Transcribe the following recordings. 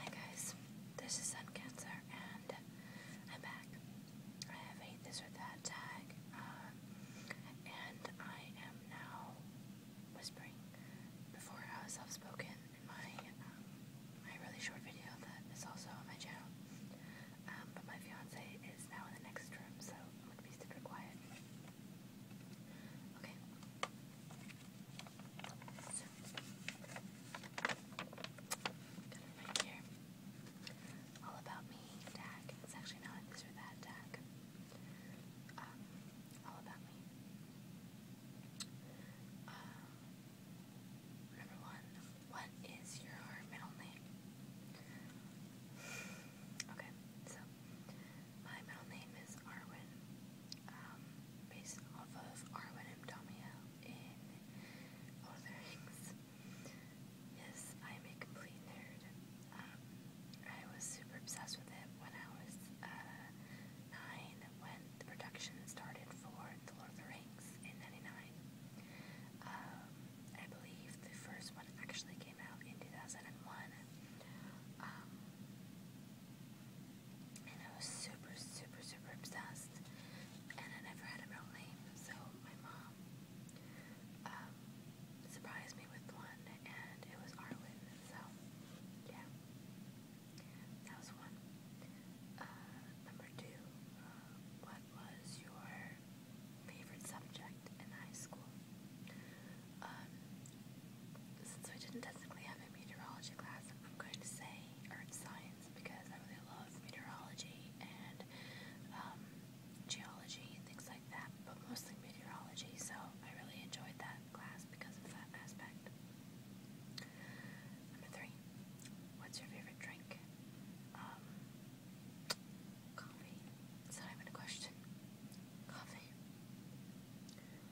Hi guys, this is Sun Cancer and I'm back. I have a this or that tag, uh, and I am now whispering. Before I was self-spoken in my um, my really short video that is also on my channel, um, but my fiance is now in the next room, so I'm gonna be super quiet. Okay, so, got All about me tag. It's actually not this or that tag. Um, all about me. Um, number one, what is your middle name? Okay, so my middle name is Arwen, um, based off of Arwen M. Domiel in Lord of the Rings. Yes, I'm a complete nerd. Um, I was super obsessed with it when I was uh, nine, when the production started for The Lord of the Rings in '99. Um, I believe the first one actually came out in 2001 and I was super, super, super obsessed. And I never had a real name, so my mom um, surprised me with one, and it was Arwen. So, yeah, that was one. Uh, number two, uh, what was your favorite subject in high school? Um, since we didn't technically have a meteorology class, I'm going to say earth science because I really love meteorology and um, geology and things like that, but mostly meteorology, so I really enjoyed that class because of that aspect. Number three, what's your favorite drink? Um, coffee. It's not even a question. Coffee.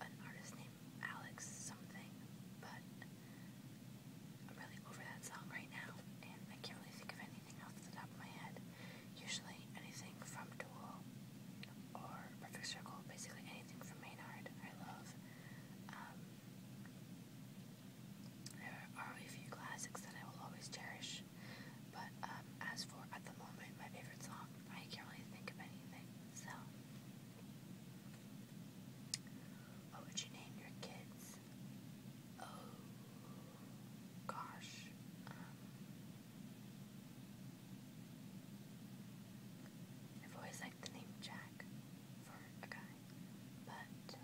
an artist named Alex something, but I'm really over that song right now, and I can't really think of anything off the top of my head. Usually anything from Duel or Perfect Circle, basically anything from Maynard, I love. Um, there are a few classics that I will always cherish, but um, as for at the moment, my favorite song I can't really think of anything. So, what would you name your kids? Oh, gosh. Um, I've always liked the name Jack for a guy, but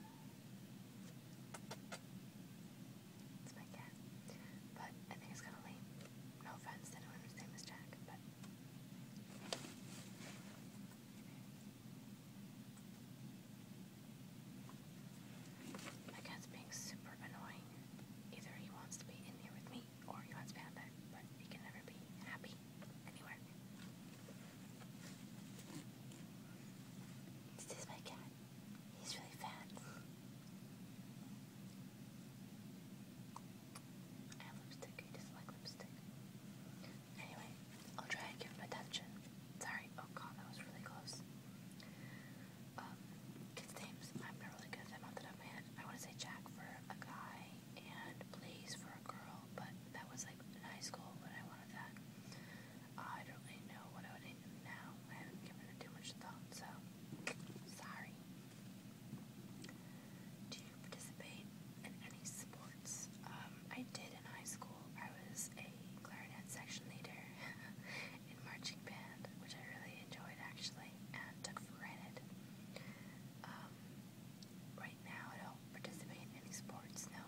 it's my cat. But I think it's kind of lame. No offense to anyone whose name is Jack, My cat's being super annoying. Either he wants to be in here with me or he wants to be out there, but he can never be happy anywhere. This is my cat. He's really fat. I have lipstick. I dislike lipstick. Anyway, I'll try and give him attention. Sorry. Oh god, that was really close. Um, kids' names. I'm not really good at them off the top I want to say Jack for a guy and Blaze for a girl, but that was like in high school when I wanted that. I don't really know what I would name now. I haven't given it too much thought, so sorry. Do you participate in any sports? Um, I did in high school. I was a clarinet section leader in marching band, which I really enjoyed actually, and took for granted. Um, right now, I don't participate in any sports, no.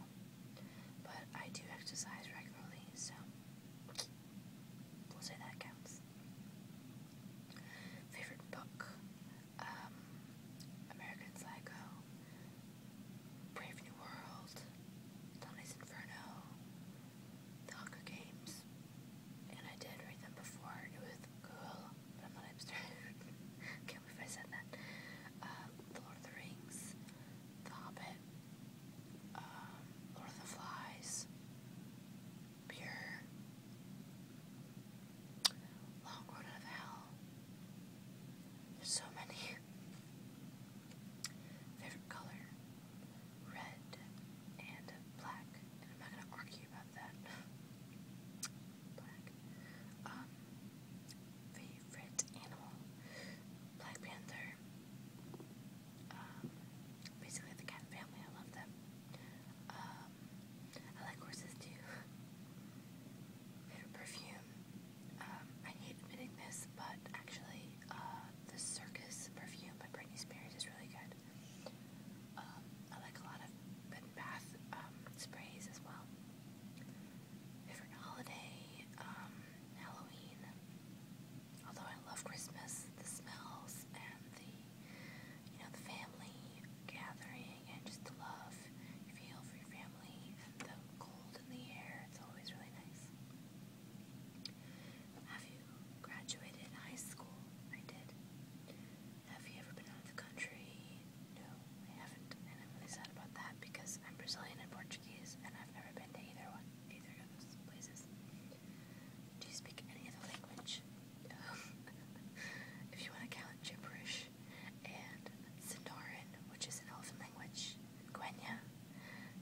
But I do exercise regularly, so We'll say that counts. Favorite book? Um, American Psycho, Brave New World, Dante's Inferno, The Hunger Games. And I did read them before, and um, the Lord of the Rings, The Hobbit, um, Lord of the Flies, pure. Long road of hell. There's so many. Favorite color? Red and black. And I'm not gonna argue about that. black. Um, favorite animal? Black Panther. Um, basically the cat family. I love them. Um, I like horses too. Favorite perfume. Um, I hate admitting this, but actually, uh, the Circus perfume by Britney Spears is really good. Um, I like a lot of bath sprays as well. Favorite holiday, Halloween although I love Christmas, the smells and the, you know, the family gathering and just the love you feel for your family and the cold in the air, it's always really nice. Have you graduated high school? I did. Have you ever been out the country? No, I haven't, and I'm really sad about that because I'm Brazilian and Portuguese, and I've never been to either one, either of those places. Do you speak any other language? Um, if you want to count gibberish and Sindarin, which is an elephant language, Quenya,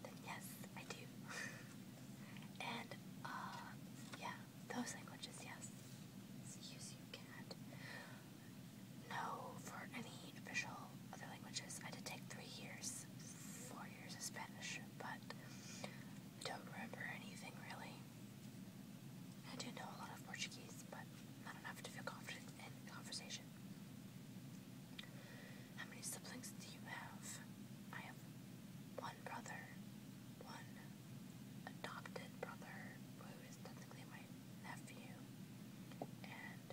then yes, I do. and, uh, yeah, those languages, yes. Use you can No, for any official other languages, I did take three years, four years of Spanish, but I don't remember anything really. I do know a lot of Portuguese, but not enough to feel confident in conversation. How many siblings do you have? I have one brother, one adopted brother who is technically my nephew, and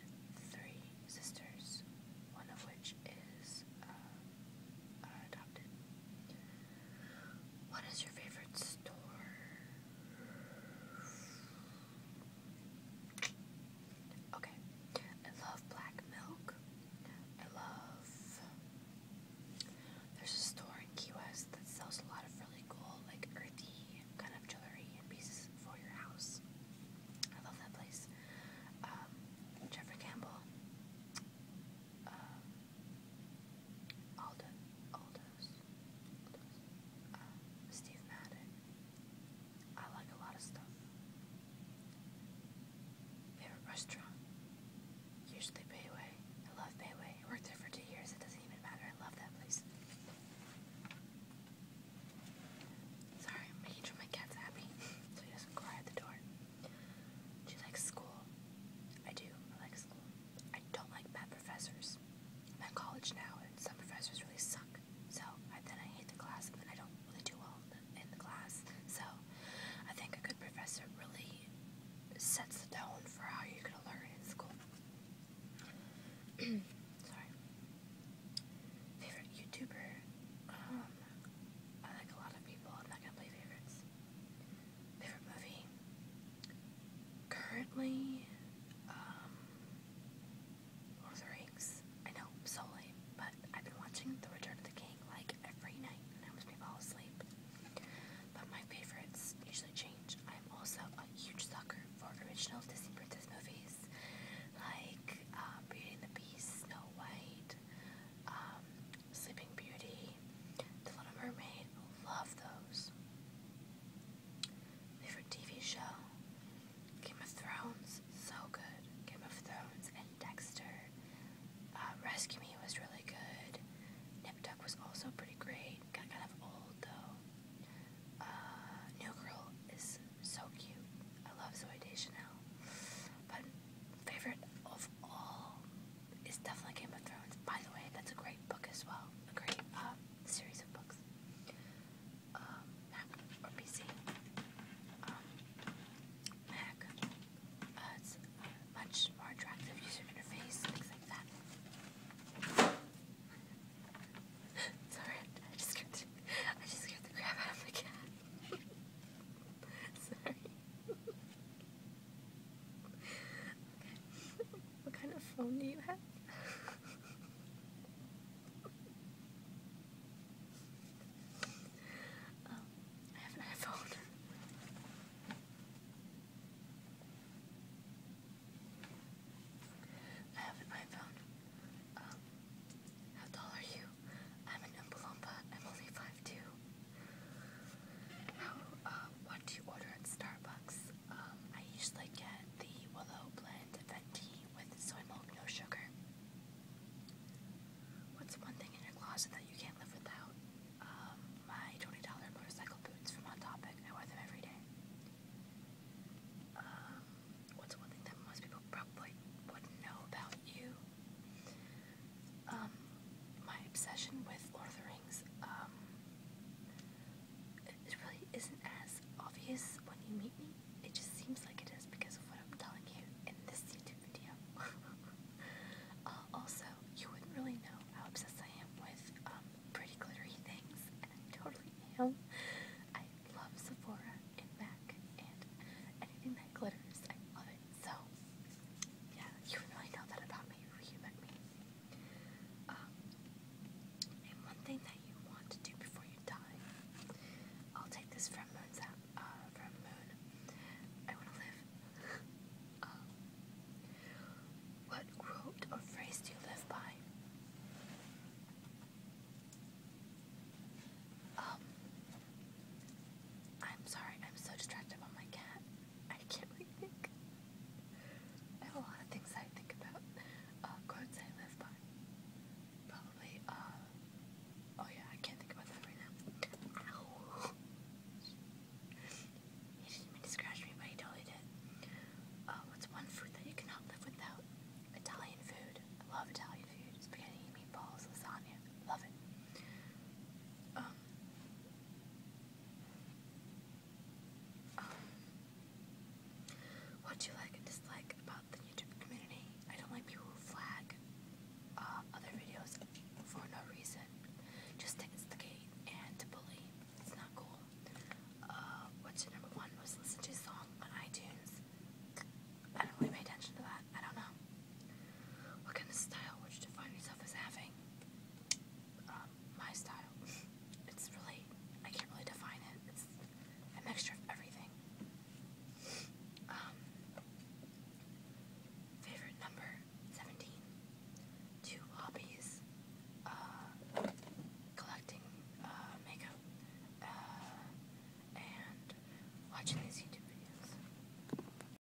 three sisters, one of which is uh, what is your favorite store? Okay. I love black milk. I love. There's a store in Key West that sells a lot of really cool, like earthy kind of jewelry and pieces for your house. I love that place. Um, Jeffrey Campbell um, Alden, Aldous, um, Steve Madden. I like a lot of stuff. Favorite restaurant? Usually Bayway. I love Bayway. I worked there for two years. It doesn't even matter. I love that place. Sorry, I'm making sure my cat's happy so he doesn't cry at the door. Do you like school? I do. I like school. I don't like bad professors. I'm at college now, and some professors really suck. So I, then I hate the class, and then I don't really do well in the, in the class. So I think a good professor really sets the tone for how you're going to learn in school. Sorry. Favorite YouTuber? Um, I like a lot of people. I'm not going to play favorites. Favorite movie? Currently, um, the Rings. I know, i so late, but I've been watching The Return of the King like every night and I almost may fall asleep. But my favorites usually change. I'm also a huge sucker for original Disney princess movies like uh, Beauty and the Beast, Snow White, um, Sleeping Beauty, The Little Mermaid, love those. Favorite TV show? Game of Thrones, so good. Game of Thrones and Dexter. Uh, Rescue Me was really good. Nip Tuck was also pretty great. Got kind of old though. Uh, New Girl is so cute. I love Zoe Deschanel. But favorite of all it's definitely Game of Thrones. By the way, that's a great book as well. A great uh, series of books. Um, Mac or PC. Um, Mac. Uh, it's uh, much more attractive user interface, things like that. Sorry, I just scared the, I just scared the crap my cat. Sorry. What kind of phone do you have? Um, I have an iPhone. I have an iPhone. Um, how tall are you? I'm an Oompa I'm only 5'2". How, oh, uh, what do you order at Starbucks? Um, I usually get the Willow Blend Venti with soy milk, no sugar. What's one thing in your closet that you can't live without? Um, my $20 motorcycle boots from On Topic. I wear them every day. Um, what's one thing that most people probably wouldn't know about you? Um, my obsession with Lord of the Rings um, it really isn't as obvious when you meet me. It just seems like it is because of what I'm telling you in this YouTube video. Uh, also, you wouldn't really know how obsessed I am with um, pretty glittery things, and I totally am. I love Sephora and MAC and anything that glitters. I love it. So, yeah, you really know that about me you met me. Um, and one thing that you want to do before you die, I'll take this from Moon's app, uh, from Moon. I want to live. um, what quote or phrase do you live by? Um, I'm sorry, I'm so distracted about my cat. I can't really think. I have a lot of things I think about. Uh, quotes I live by. Probably, uh, oh yeah, I can't think about that right now. Ow. He didn't mean to scratch me, but he totally did. Uh, what's one food that you cannot live without? Italian food. I love Italian food. Spaghetti, meatballs, lasagna. Love it. Um, what do you like and dislike about the YouTube community? I don't like people who flag uh, other videos for no reason, just to instigate and to bully. It's not cool. Uh, what's your number one most listened to song on iTunes? I don't really pay attention to that. I don't know. What kind of style would you define yourself as having? Um, my style. It's really, I can't really define it. It's a mixture of everything. Um, favorite number 17. Two hobbies. Uh, collecting uh, makeup uh, and watching these YouTube videos.